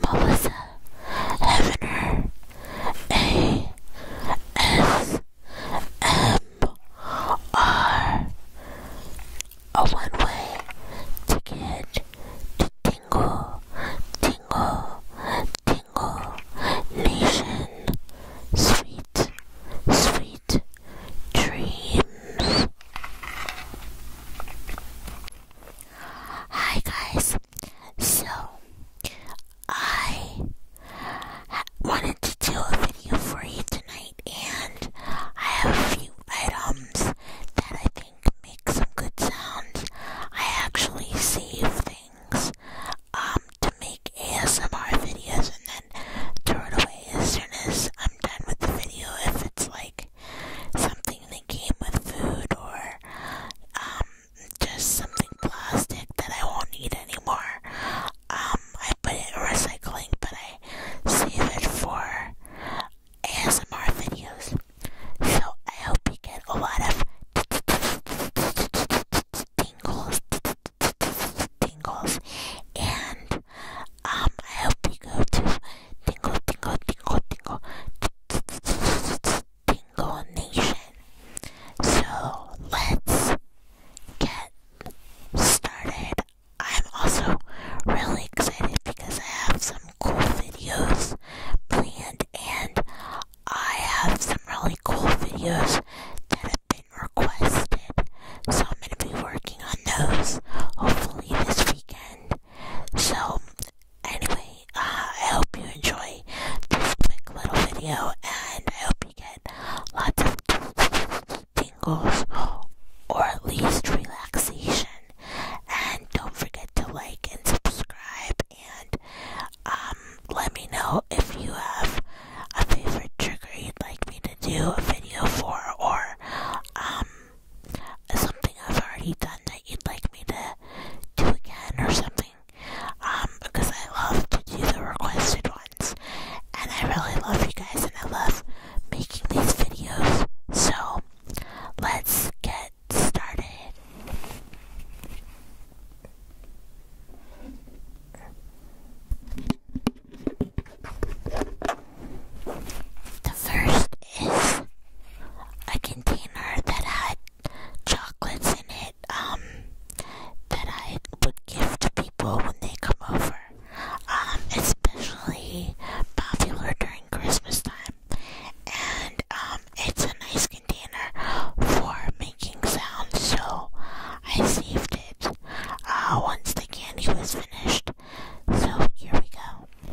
Melissa Hefner A S M R a one-way ticket to Tingle, Tingle, Tingle Nation. Sweet, sweet dreams. Hi guys. So I wanted to do a video for you tonight, and I have a few items that I think make some good sounds. I actually save things um to make ASMR videos and then turn away as soon as I'm done with the video if it's like something that came with food or um, just something plastic that I won't need anymore. Um, I put it in recycling, but I save it for ASMR videos. So I hope you get a lot of tingles, tingles, and um, I hope you go to Tingle, tingle, tingle, tingle, tingle nation. So let's get started. I'm also really excited because I have some cool videos planned and I have some really cool videos that have been requested. So I'm going to be working on those hopefully this weekend. So Anyway, uh, I hope you enjoy this quick little video and I hope you get lots of tingles or at least relaxation. And don't forget to like and subscribe and um, let me know if you have a favorite trigger you'd like me to do a video for or um, something I've already done that you'd like me to do again or something. Um, because I love to do the requested ones. And I really love you guys and I love making these videos. So, let's get started. The first is a container that had chocolates in it um, that I would give to people when they come over, um, especially popular during Christmas time. And um, it's a nice container for making sounds, so I saved it uh, once the candy was finished. So here we go.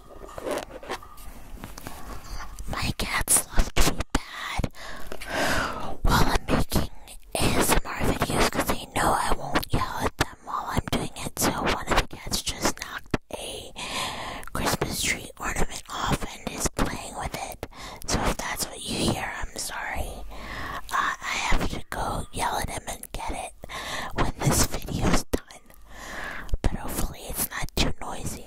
My cats love to be bad while I'm making ASMR videos because they know I won't yell at them while I'm doing it. So one of the cats just knocked a Christmas tree ornament off and is playing with it. So if that's what you hear, I'm sorry. Uh, I have to go yell at him and get it when this video is done but hopefully it's not too noisy.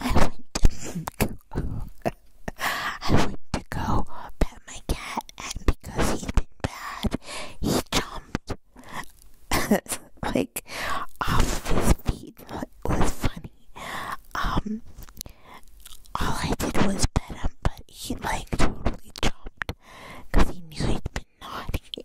I went to I went to go pet my cat, and because he's been bad, he jumped like off his feet. It was funny. Um, all I did was pet him, but he like totally jumped because he knew he'd been naughty.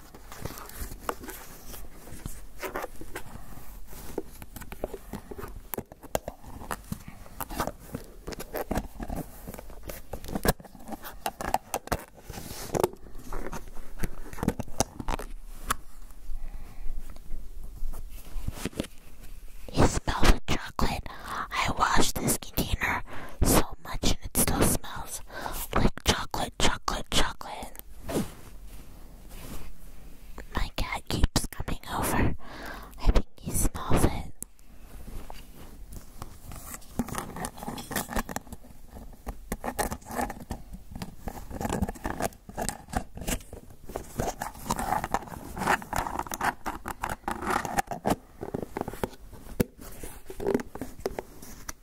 It smells of chocolate. I washed this container so much and it still smells like chocolate, chocolate, chocolate. My cat keeps coming over. I think he smells it.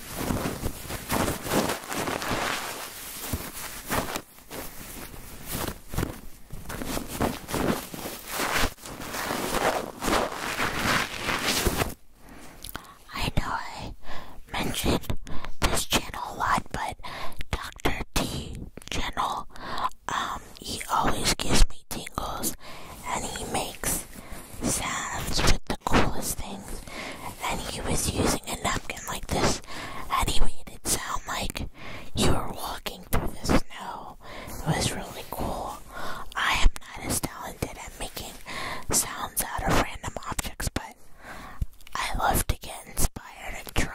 I know I mentioned this channel a lot, but Dr. T channel, um, he always gives me tingles and he makes sounds with the coolest things. And he was using a napkin like this, and he made it sound like you were walking through the snow. It was really cool. I am not as talented at making sounds out of random objects, but I love to get inspired and try.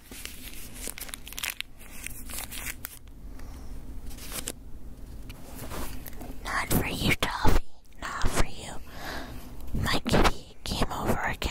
Not for you, Toffee. Not for you. My kitty came over again.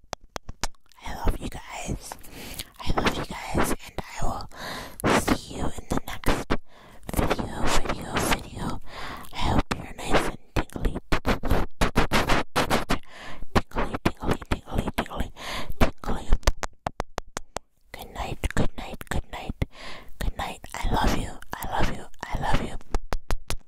I love you guys. I love you guys, and I will see you in the next video, video, video. I hope you're nice and tingly. Tingly, tingly, tingly, tingly, tingly. Good night, good night, good night, good night. I love you, I love you, I love you.